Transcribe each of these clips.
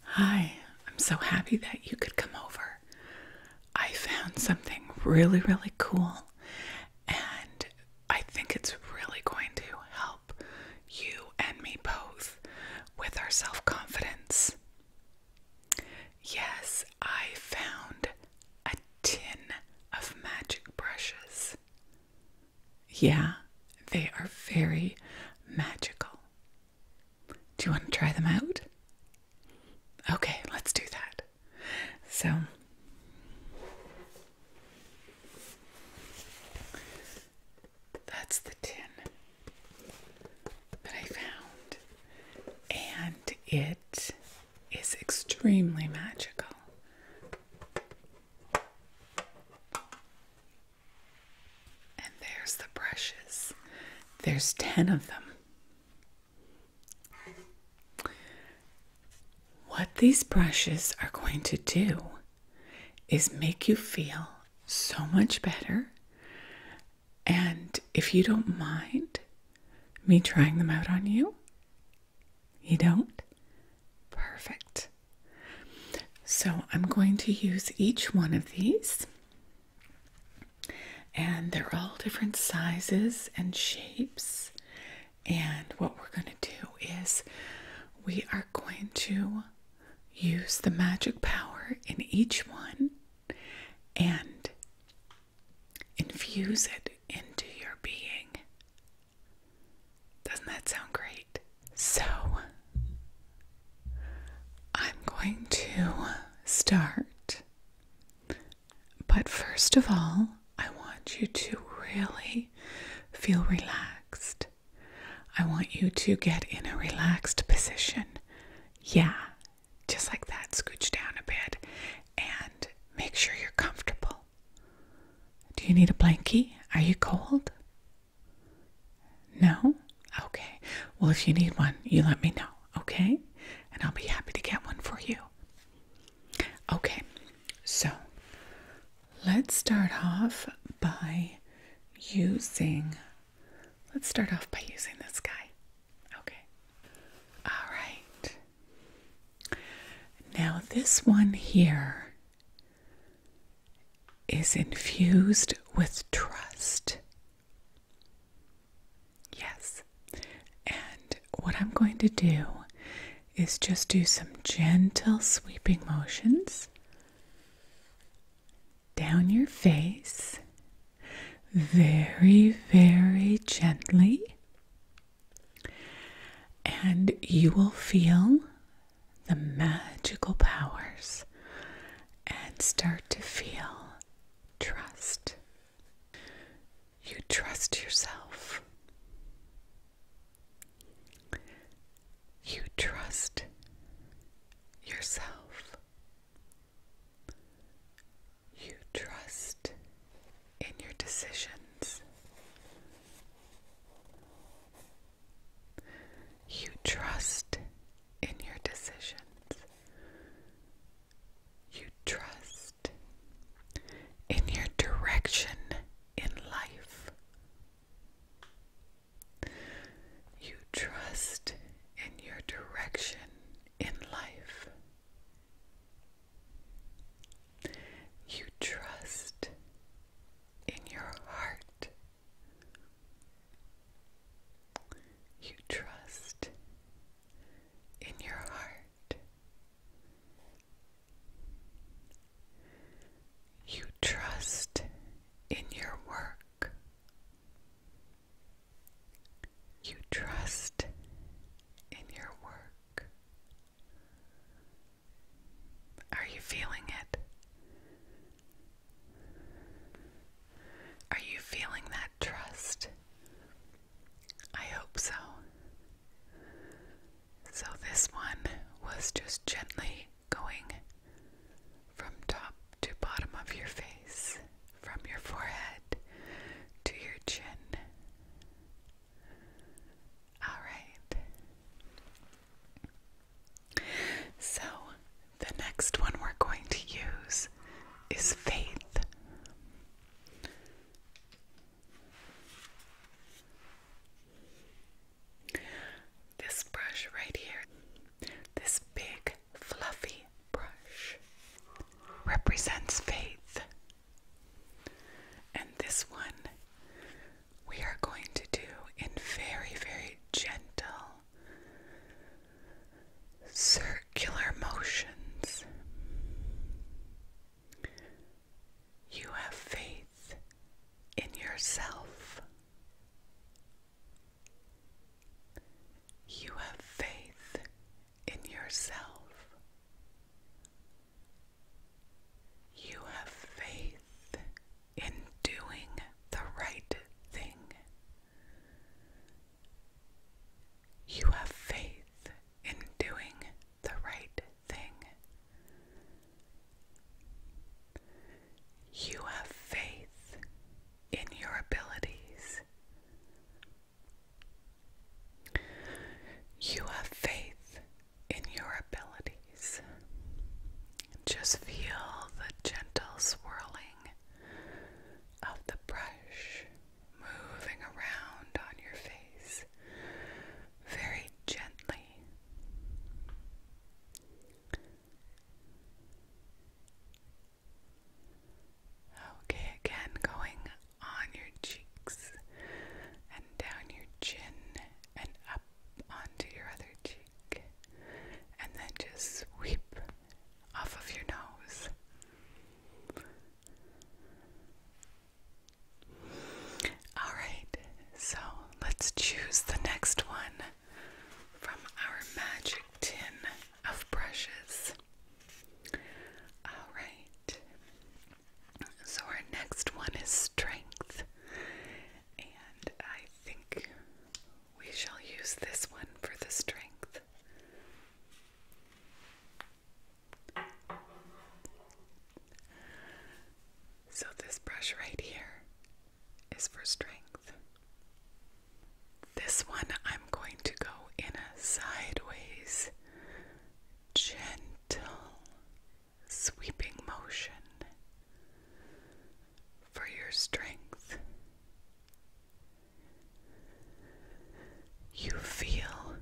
Hi, I'm so happy that you could come over. I found something really, really cool, and I think it's really going to help you and me both with our self confidence. Yes, I found a tin of magic brushes. Yeah, they are very magical. Do you want to try them out? Okay, let's do that. So, that's the tin that I found, and it is extremely magical. And there's the brushes. There's 10 of them. What these brushes are going to do is make you feel so much better. And if you don't mind me trying them out on you, you don't? Perfect. So I'm going to use each one of these, and they're all different sizes and shapes. And what we're going to do is we are going to use the magic power in each one and infuse it into your being. Doesn't that sound great? So, I'm going to start. But first of all, I want you to really feel relaxed. I want you to get in a relaxed position. Yeah, just like that. Scooch down a bit and make sure you're comfortable. Do you need a blankie? Are you cold? No? Okay. Well, if you need one, you let me know, okay? And I'll be happy to get one for you. Okay, so let's start off by using. Let's start off by using this guy. Okay. All right. Now, this one here is infused with trust. Yes. And what I'm going to do is just do some gentle sweeping motions down your face very, very gently. And you will feel the magical powers and start to feel trust. You trust yourself. You trust yourself. You trust in your decisions. You trust in your decisions. You trust in your direction in life. You trust in your direction in life. You trust in your heart you trust in your heart. You trust in your work. You trust in your work. Are you feeling it? Are you feeling that trust? I hope so. So, this one was just gently going from top to bottom of your face, from your forehead to your chin. All right. So, the next one we're going to use is faith. This brush right here, this big fluffy brush, represents faith. And this one we are going to do in very, very gentle circular motions. You have faith in yourself. You have faith in yourself. You have faith in doing the right thing. You have faith in doing the right thing. You have faith in your abilities. You have faith in your abilities. Just feel the gentle swirling of the brush moving around on your face very gently. Okay, again, going on your cheeks and down your chin and up onto your other cheek, and then just sweep off of your nose. All right, so let's choose the next one from our magic tin of brushes. All right, so, our next one is strength, and I think we shall use this one for the strength. So, this brush right here is for strength. This one I'm going to go in a sideways, gentle sweeping motion for your strength. You feel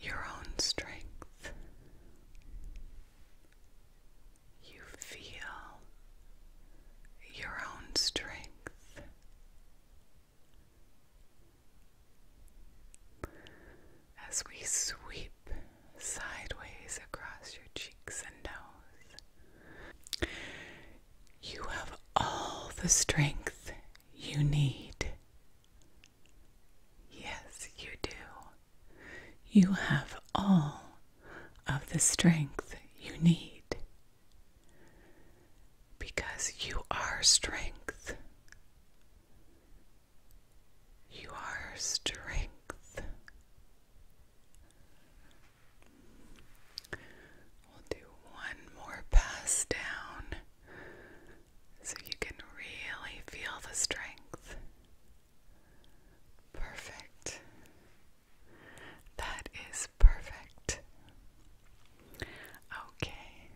your own strength. You feel your own strength as we sweep sideways across your cheeks and nose. You have all the strength you need. Yes, you do. You have all of the strength you need because you are strength. You are strength. We'll do one more pass down so you can really feel the strength. Perfect. That is perfect. Okay.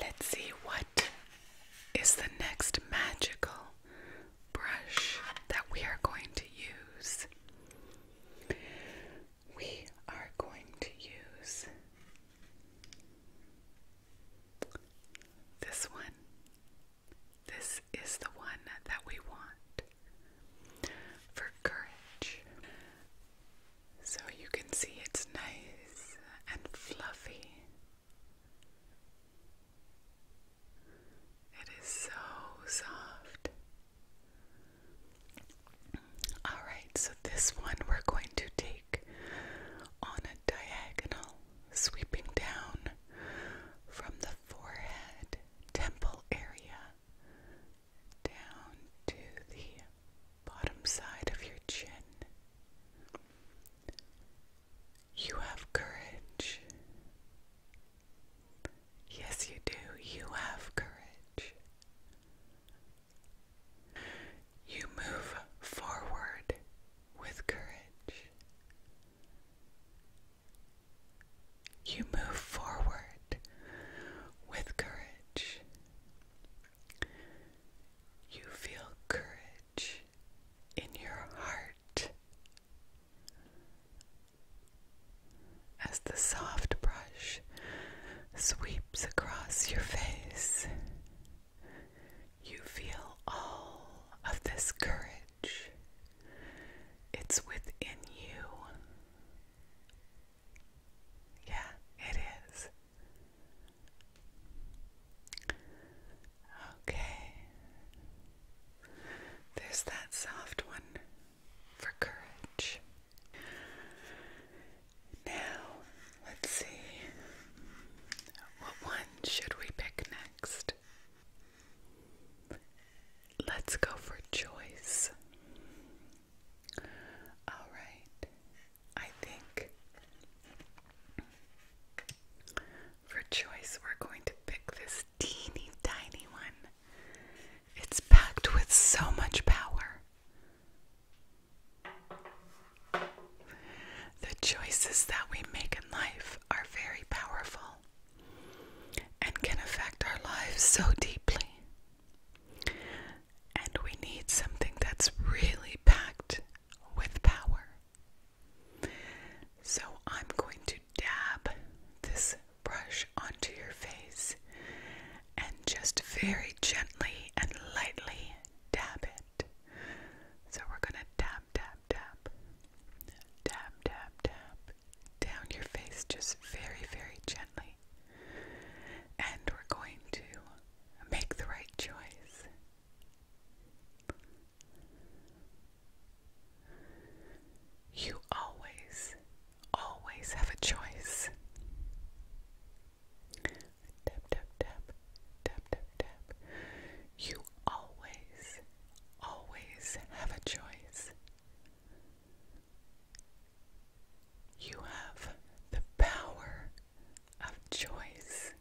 Let's see what is the next magical brush that we are going to use. We are going to use this one. This is the one that we want for courage. So you can see it's nice and fluffy. It is so soft. Alright, so this one we're going to take on a diagonal, sweeping down from the forehead temple area down to the bottom side of your chin. You have courage. Yes, you do. You have courage. You move forward with courage. You move forward with courage. You feel courage in your heart as the soft brush sweeps across your face. You feel all of this courage. It's within you. Yeah, it is. Okay. There's that soft one for courage. Now, let's see. What one should we pick next? Let's go for choice. Alright, I think for choice, we're going to pick this teeny tiny one. It's packed with so much power. The choices that we make in life are very powerful and can affect our lives so deeply and we need something that's really packed with power. So I'm going to dab this brush onto your face and just very gently and lightly dab it. So we're going to dab, dab, dab, dab, dab, dab down your face just very, very gently. And we're going to make the right choice. You always, always have a choice. Tap, tap, tap, tap, tap, tap. You always, always have a choice. You have the power of choice.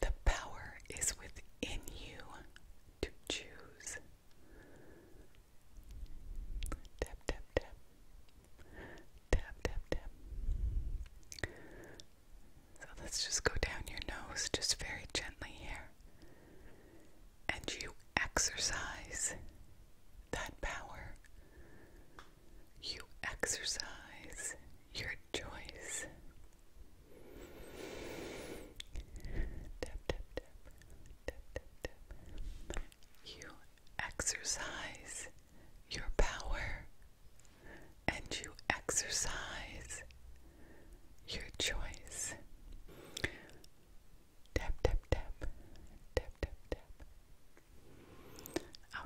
The power is within you to choose. Tap, tap, tap. Tap, tap, tap. So let's just go down your nose just very gently here. And you exercise that power you exercise your choice. Tap, tap, tap. Tap, tap, You exercise your power and you exercise your choice. Tap, tap, tap. Tap, tap, tap.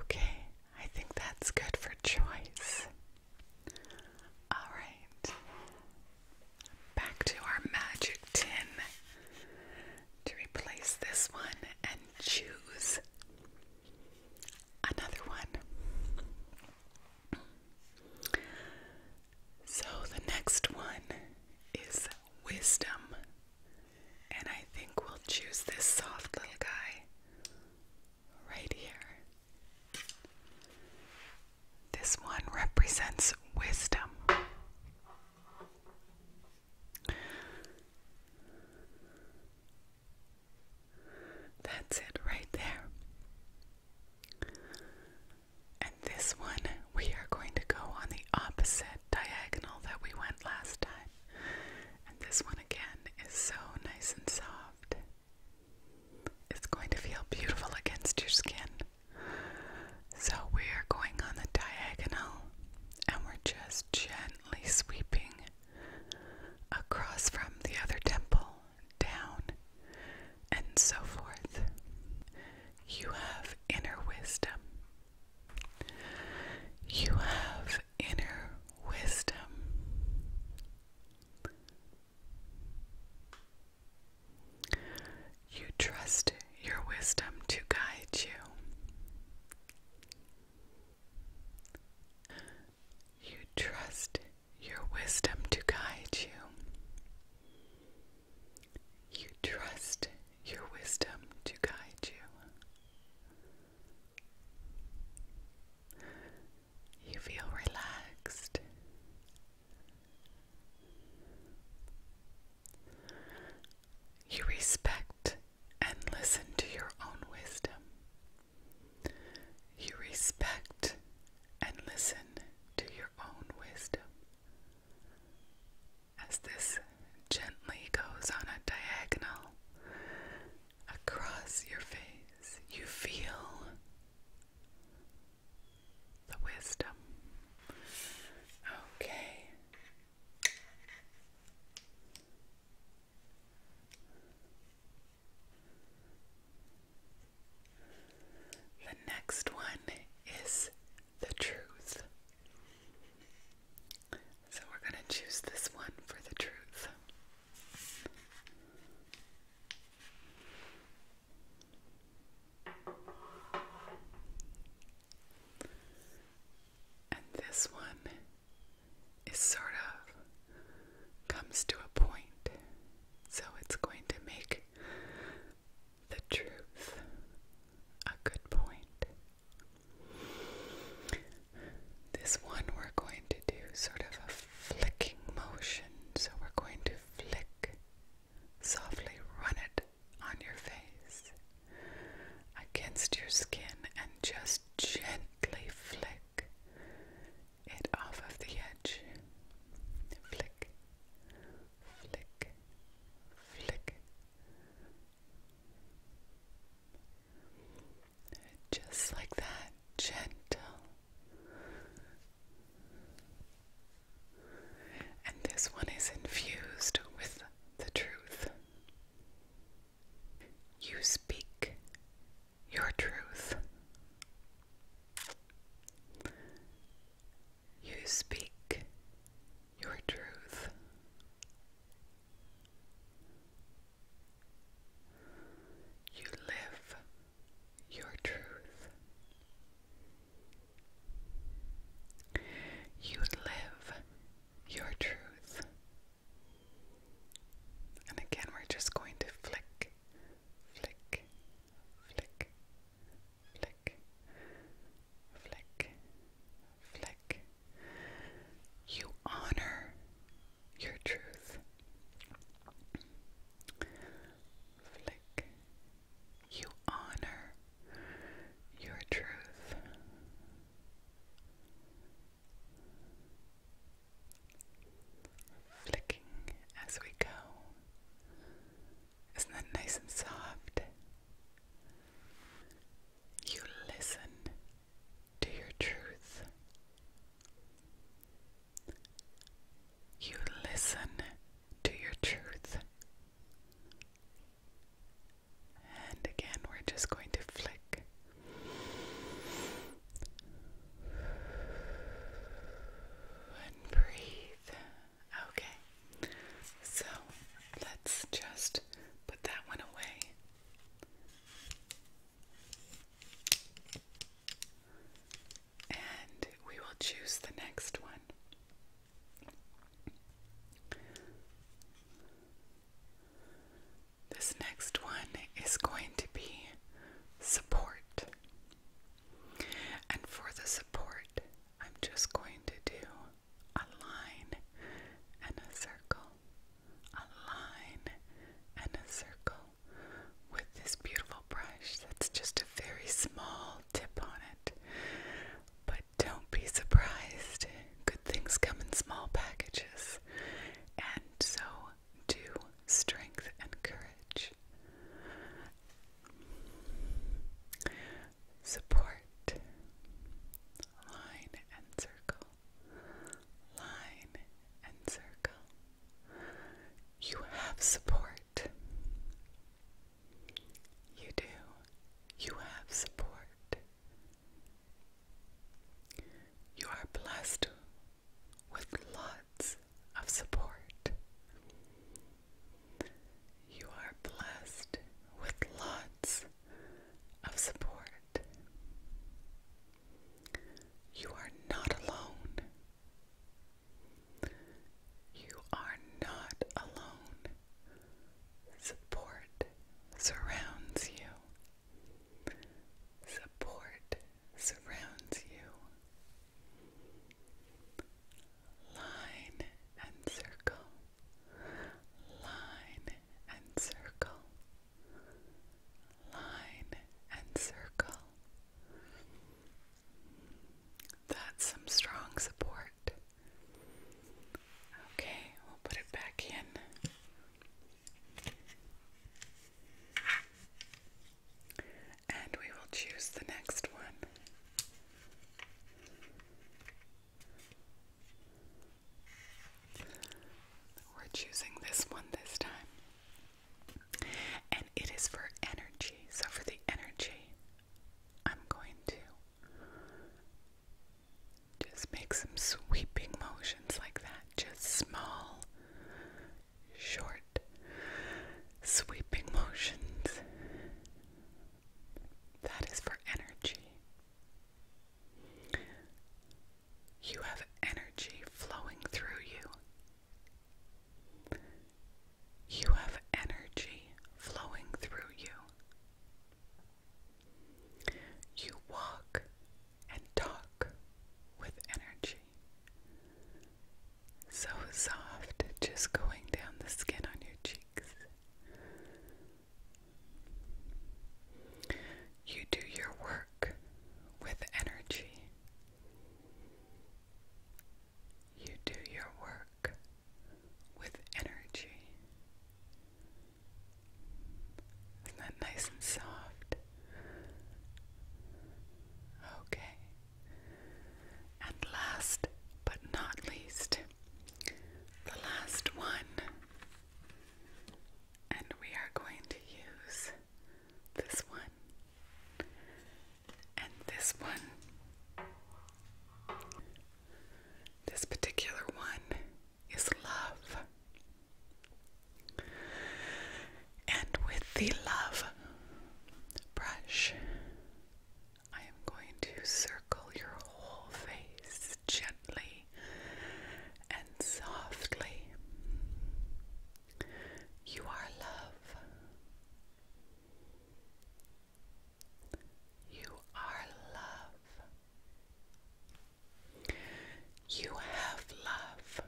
Okay, I think that's good for choice. Alright, back to our magic tin to replace this one and choose another one. So the next one is wisdom. And I think we'll choose this soft little guy right here. This one represents wisdom. That's it right there. And this one, we are going to go on the opposite diagonal that we went last time. And this one again is so nice and soft. It's going to feel beautiful against your skin. So we are going on the diagonal and we're just gently sweeping across from the other temple, down, and so forth. You have inner wisdom you have inner wisdom. You trust your wisdom to guide you. You trust your wisdom to guide you. You trust your wisdom to guide you. You feel relaxed. You respect and listen to your own wisdom. You respect and listen to your own wisdom as this gently goes on a diagonal across your face, you feel the wisdom. Okay. The next one is the truth. So we're going to choose this one for the truth. And this one is sort of comes to a point. So it's going to make the truth. A good point. This one we're going to do sort of a flicking motion. So we're going to flick, softly run it on your face against your skin and just gently flick it off of the edge. Flick, flick, flick, just like that, gentle. And this one is infused with the truth. You speak your truth. You speak your truth. You live your truth. You live your truth. And again, we're just going to flick, flick, flick, flick, flick, flick, You honor your truth. Flick. You honor your truth. Flicking as we go. Isn't that nice and soft? You listen to your truth. You listen to your truth. And again, we're just going to flick. And breathe. Okay, so let's just put that one away. And we will choose the next one. This next one is going to be support. And for the support, I'm just going to do a line and a circle, a line and a circle with this beautiful brush that's just a very small tip on it. But don't be surprised, good things come in small packages. And so do strength and courage support, line and circle, line and circle. You have support. You do. You have support. You are blessed with lots of support. You are blessed with lots of support. You are not alone. You are not alone. Support surrounds you. Support surrounds you line and circle, line and circle, line and circle. That's some strong support. Okay, we'll put it back in. And we will choose the next one. We're choosing this one this time. And it is for energy. So for the energy, I'm going to just make some sweeping motions like that. Just small, short, sweeping motions. That is for energy. You have energy flowing through you. You have energy flowing through you. You walk and talk with energy. So soft, just going down the skin on your cheeks. You do your work with energy. You do your work with energy. Isn't that nice and soft? Okay. And last but not least, the last one. And we are going to use this one and this one. This particular one is love. And with the love brush, I am going to circle your whole face gently and softly. You are love. You are love. You have love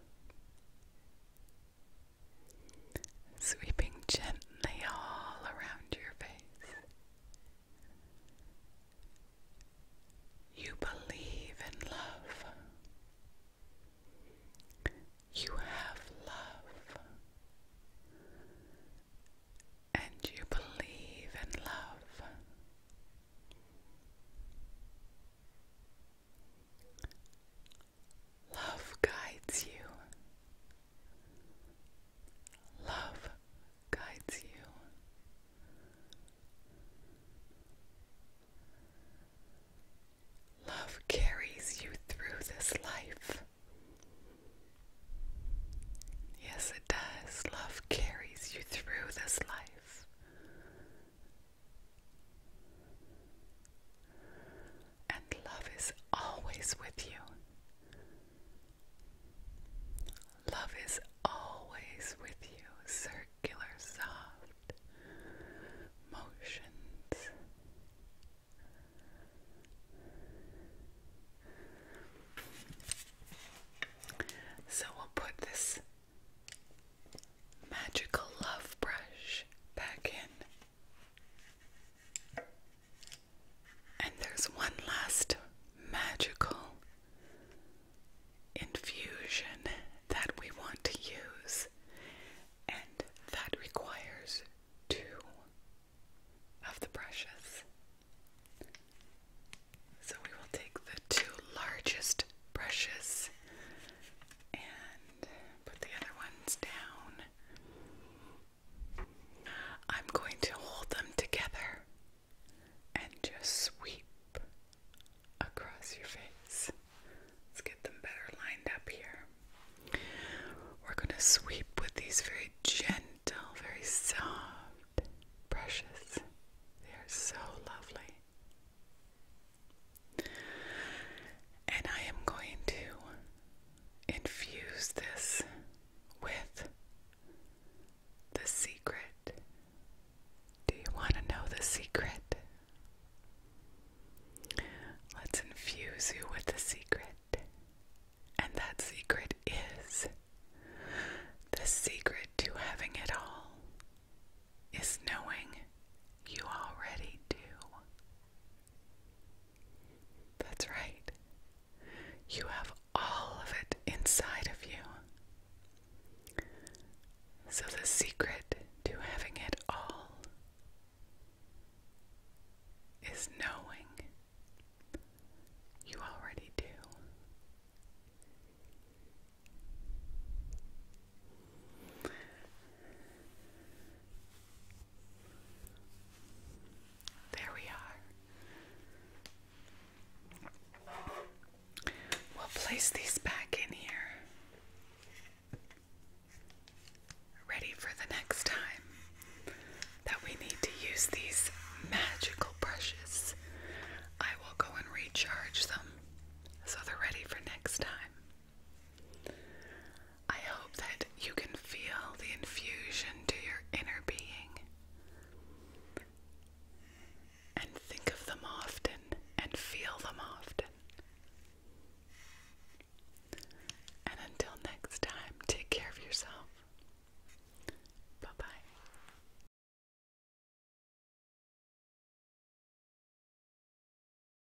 sweeping gently all around your face. You believe in love. You have love. And you believe in love. Love guides you. Love guides you. Love carries you through this life. Yes, it does. Love carries you through this life and love is always with you. Love is always with you, circular, soft motions. So we'll put this magical love brush back in. And there's one last magical infusion that we want to use, and that requires two of the brushes. So we will take the two largest brushes and put the other ones down. I'm going to hold them together and just sweep across your face. Let's get them better lined up here. We're going to sweep with these very gentle, very soft brushes. They are so lovely. And I am going to infuse this with the secret. Do you want to know the secret? Let's infuse you with the secret. And that secret is the secret to having it all is knowing you already do. That's right. You have all of it inside of you. So, the secret to having it all is knowing you already do. There we are. We'll place these back in here. Ready for the next time that we need to use these magical brushes. I will go and recharge them so they're ready for next time. I hope that you can feel the infusion to your inner being and think of them often and feel them often. And until next time, take care of yourself. Bye bye.